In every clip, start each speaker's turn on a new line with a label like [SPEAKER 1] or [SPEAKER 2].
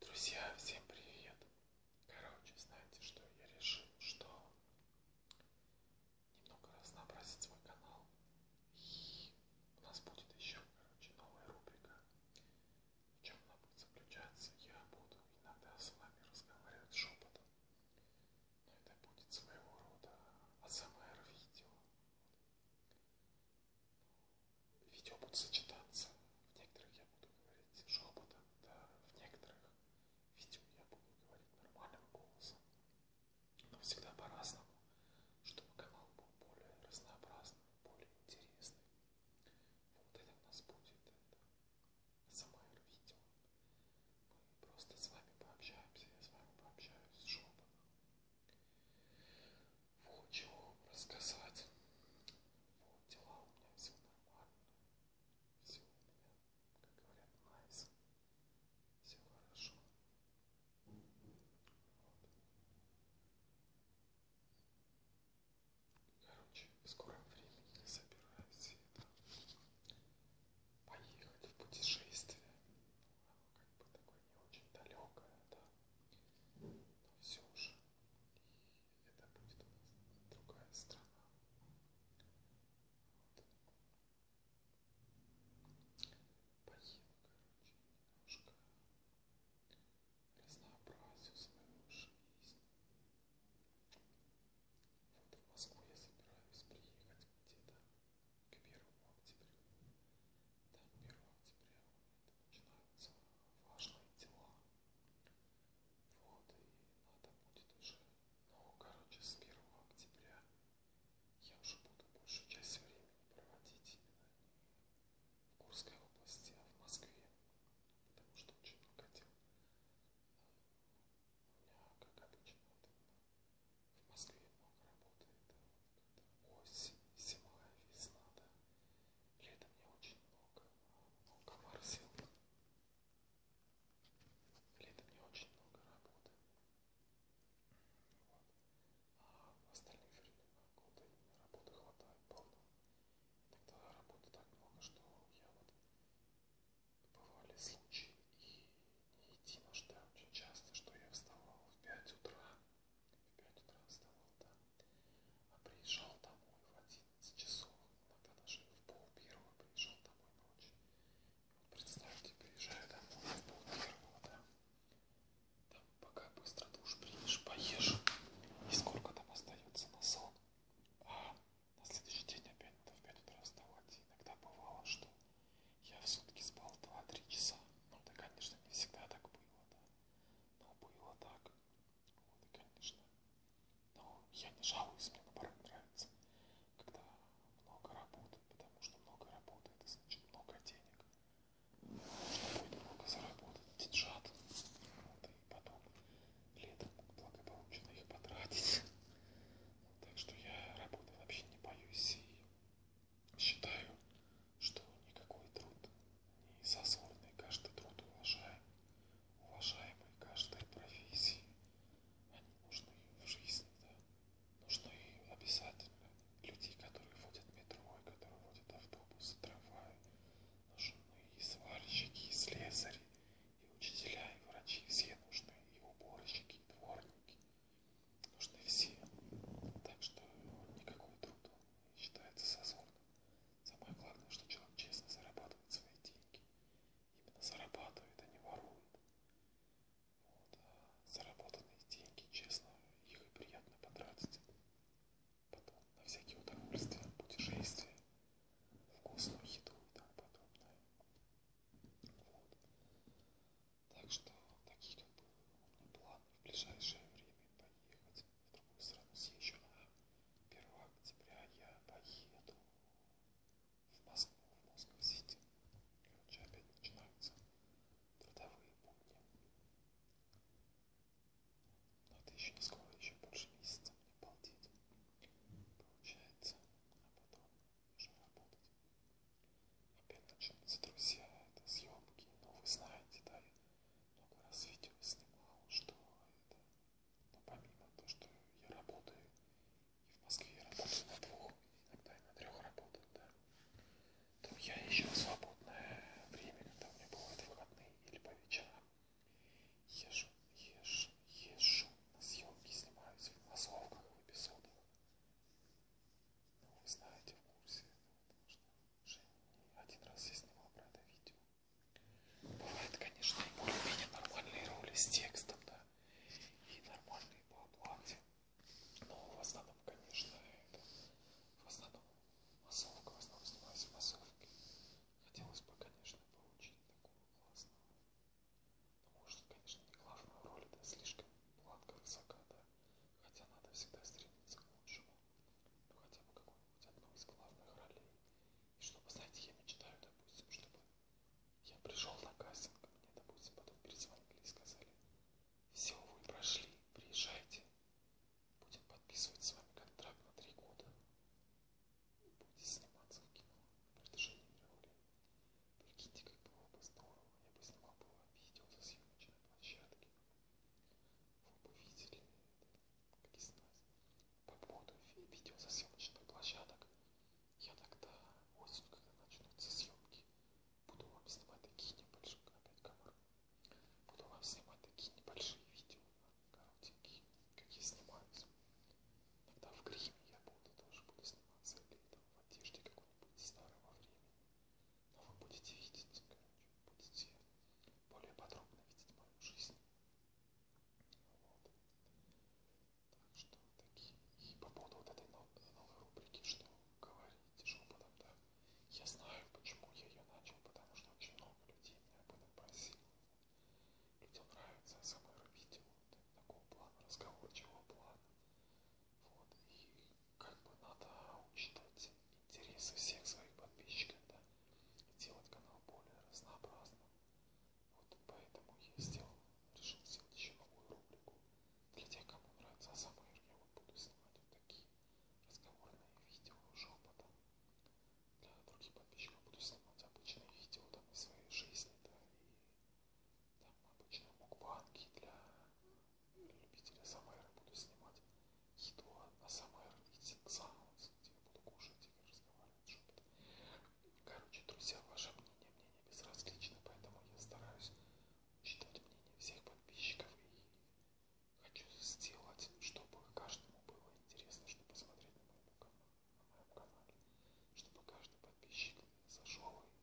[SPEAKER 1] Друзья, всем привет! Короче, знаете, что я решил, что немного разнообразить свой канал. И у нас будет еще, короче, новая рубрика. В чем она будет заключаться? Я буду иногда с вами разговаривать шепотом. Но это будет своего рода АСМР-видео. Видео будут сочетаться. В некоторых я буду говорить шепотом, да, в некоторых видео я буду говорить нормальным голосом. Но всегда по-разному, чтобы канал был более разнообразным, более интересным. Вот это у нас будет это СМР-видео. Мы просто с вами пообщаемся, я с вами пообщаюсь с шепотом. Вот чего вам рассказать. Вот дела у меня все нормально. Все у меня, как говорят, nice. Все хорошо. Вот. Короче, в скором времени я собираюсь это поехать в путешествие как бы такое не очень далекое, да, но все же, и это будет у нас другая страна. Вот. Поеду, короче, немножко разнообразию свою жизнь. Вот в Москву я собираюсь приехать где-то к 1 октября. Да, 1 октября это начинаются важные дела. Вот, и надо будет уже... Ну, короче, с 1 октября я уже буду большую часть времени проводить именно не в Курской области, а в Москве, потому что очень много дел. У меня, как обычно, в Москве много работает, да, вот, осень, зима, весна, да, летом не очень много, но комар сел, летом не очень много работы, вот, а в остальные времена года работы хватает полно, иногда работы так много, что я вот, бывали случаи и не идти на штаб очень часто, что я вставал в 5 утра, в 5 утра вставал там, а приезжал домой в 11 часов, иногда даже в пол первого приезжал домой ночью. Вот представьте, приезжаю домой в пол первого, да, там пока быстро душ примешь, поешь, и сколько там остается на сон. А на следующий день опять в 5 утра вставать. Иногда бывало, что я в сутки спал 2-3 часа. Ну, это, конечно, не всегда так было, да. Но ну, а было так. Вот, и, конечно. Но я не жалуюсь, мне наоборот нравится, когда много работы, потому что много работы, это значит много денег. Можно будет много заработать, деньжат. Вот, и потом летом благополучно их потратить. Так что я работы вообще не боюсь и Считаю, что никакой труд не зазорный, каждый труд уважаем, уважаемый каждой профессии. Они а нужны в жизни, да, нужны обязательно. Людей, которые водят метро, и которые водят автобусы, трамваи, нужны и сварщики, и слесари, и учителя, и врачи, все нужны, и уборщики, и дворники, нужны все. Так что никакой труд считается зазорным. Самое главное, что человек честно зарабатывает свои деньги. Именно зарабатывает, а не ворует. Вот. А заработанные деньги, честно, их и приятно потратить. Потом на всякие удовольствия, путешествия, вкусную еду и тому подобное. Вот. Так что таких как бы у меня план в ближайшее время поехать в другую страну съезжу, а 1 октября я поеду в Москву, в Москву-Сити. Короче, опять начинаются трудовые будни. Но это еще не скоро, еще больше месяца мне балдеть. Получается. А потом нужно работать. Опять начнутся друзья, это съемки, но вы знаете, да, я много раз видео снимал, что это, но помимо того, что я работаю, и в Москве я работаю на двух, иногда и на трех работах, да, то я еще свободное время, когда у меня бывают выходные или по вечерам, езжу, езжу, езжу на съемки, снимаюсь в массовках, в эпизодах. Ну, вы знаете, в курсе этого, потому что Женя один раз я снимал про это видео. Бывает, конечно, и более-менее нормальные роли с текстом, да, и нормальные по оплате. Но в основном, конечно, это в основном массовка, в основном снимаюсь в массовке. Хотелось бы, конечно, получить такого классного может, конечно, не главную роль, да слишком планка высока, да, хотя надо всегда стремиться к лучшему, ну хотя бы какую-нибудь одну из главных ролей. И чтобы, знаете, я мечтаю, допустим, чтобы я пришел на кастинг, мне, допустим, потом перезвонили и сказали, все, вы прошли, приезжайте, будем подписывать с вами контракт на три года, будете сниматься в кино на протяжении мировой. Прикиньте, как было бы здорово, я бы снимал было видео со съемочной площадки. Вы бы видели, как из нас, по поводу видео со съемочных площадок. Я тогда осенью, когда начнутся съемки, буду вам снимать такие небольшие, опять камеры, буду вам снимать такие небольшие видео, коротенькие, как я снимаюсь. Иногда в гриме я буду, тоже буду сниматься, или в одежде какой-нибудь старого времени. Но вы будете видеть, короче, будете более подробно видеть мою жизнь. Вот. Так что такие. И по поводу вот этой новой, новой рубрики, что говорить шепотом, да. Я знаю, почему я ее начал, потому что очень много людей меня об этом просили. Людям нравится СМР-видео, такого плана, разговорчивого плана. Вот. И как бы надо учитывать интересы всех своих подписчиков, да, и делать канал более разнообразным. Вот поэтому я сделал, решил сделать еще новую рубрику. Для тех, кому нравится Асамэр, я вот буду снимать вот такие разговорные видео шепотом. Для других подписчиков буду снимать обычные видео там, из своей жизни, да, и там обычно мукбанки для любителя самэра буду снимать. Еду на самэр Eating Sounds, где я буду кушать или разговаривать что-то. Короче, друзья, ваше мнение мне не безразлично, поэтому я стараюсь учитывать мнение всех подписчиков и хочу сделать, чтобы каждому было интересно, что посмотреть на моем, на моем канале, чтобы каждый подписчик зашел и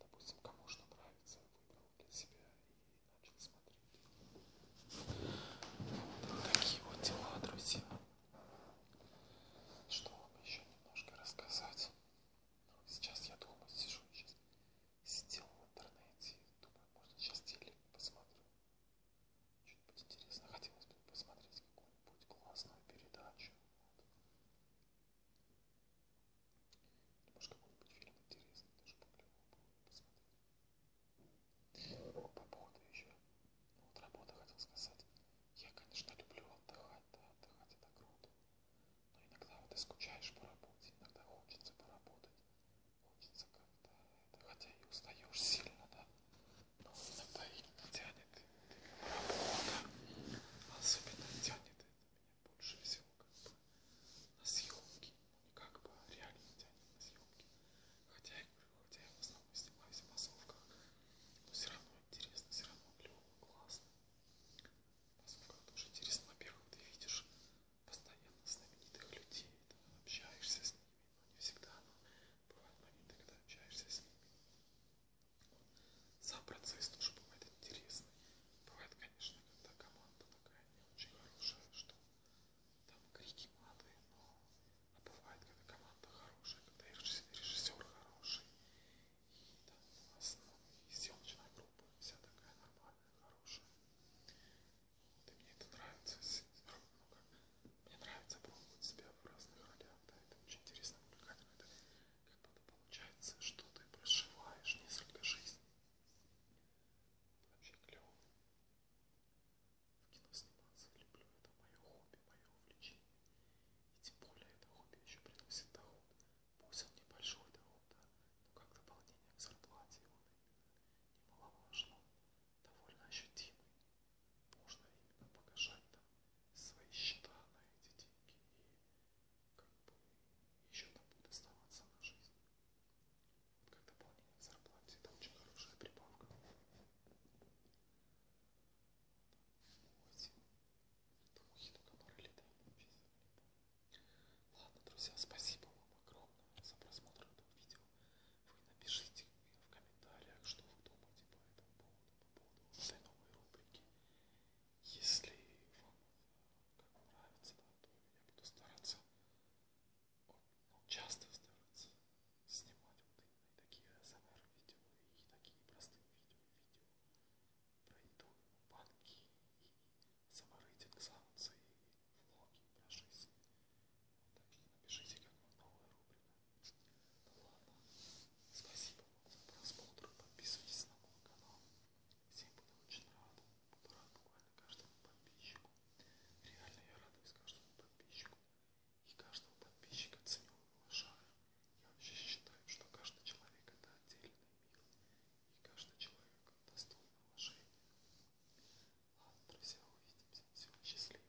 [SPEAKER 1] допустим, кому что нравится, выбрал для себя и начал смотреть. Вот такие вот дела, друзья. Что вам еще немножко рассказать? Ну, сейчас я думаю, сижу сейчас сидел в интернете, думаю, может сейчас телек посмотрю. Что-нибудь интересно, хотелось бы посмотреть какую-нибудь классную передачу. Вот. Может, какой-нибудь фильм интересный, даже поклево было бы посмотреть. По поводу еще, ну, вот работа хотел сказать. Я, конечно, люблю отдыхать, да, отдыхать это круто. Но иногда вот ты скучаешь по работе, иногда хочется поработать. Хочется как-то это, хотя и устаешь сильно, да. Но иногда и тянет работа. Особенно тянет это меня больше всего как бы на съемки. Ну, не как бы, а реально тянет на съемки. Хотя я говорю, хотя я в основном снимаюсь в массовках, но все равно интересно, все равно клево, классно. В массовках тоже интересно. Во-первых, ты видишь постоянно знаменитых людей, ты общаешься с ними, но не всегда, но бывают моменты, когда общаешься с ними. Сам процесс тоже бывает интересный. Бывает, конечно, когда команда такая не очень хорошая, что там крики маты, но а бывает, когда команда хорошая, когда режиссер хороший, и там у нас ну, и съемочная группа вся такая нормальная, хорошая. Вот, и мне это нравится. Ну, как, мне нравится пробовать себя в разных ролях, да, это очень интересно, увлекательно. Это когда-то получается, что ты проживаешь несколько жизней. Вообще клево. В кино сниматься люблю, это мое хобби, мое увлечение. И тем более это хобби еще приносит доход. Пусть он небольшой доход, да, но как дополнение к зарплате он именно немаловажно, довольно ощутимый можно именно погашать там свои счета на эти деньги и как бы еще там будет оставаться на жизнь. Вот как дополнение к зарплате, это очень хорошая прибавка. 8. Духи только летают, написано. Ладно, друзья, спасибо вам огромное за просмотр этого видео. Вы напишите в комментариях, что вы думаете по этому поводу по поводу этой новой рубрики. Если вам как нравится, да, то я буду стараться, вот, ну, часто стараться снимать вот именно и такие ASMR-видео, и такие простые видео, видео про еду, банки, и саморейтинг саунсы, и влоги про жизнь. Так что напишите, как вам новая рубрика. Ну ладно. Спасибо вам за просмотр. Подписывайтесь на мой канал. Всем буду очень рад. Буду рад буквально каждому подписчику. Реально я радуюсь каждому подписчику. И каждого подписчика ценю и уважаю. Я вообще считаю, что каждый человек это отдельный мир. И каждый человек достоин уважения. Ладно, друзья, увидимся. Всего счастливо.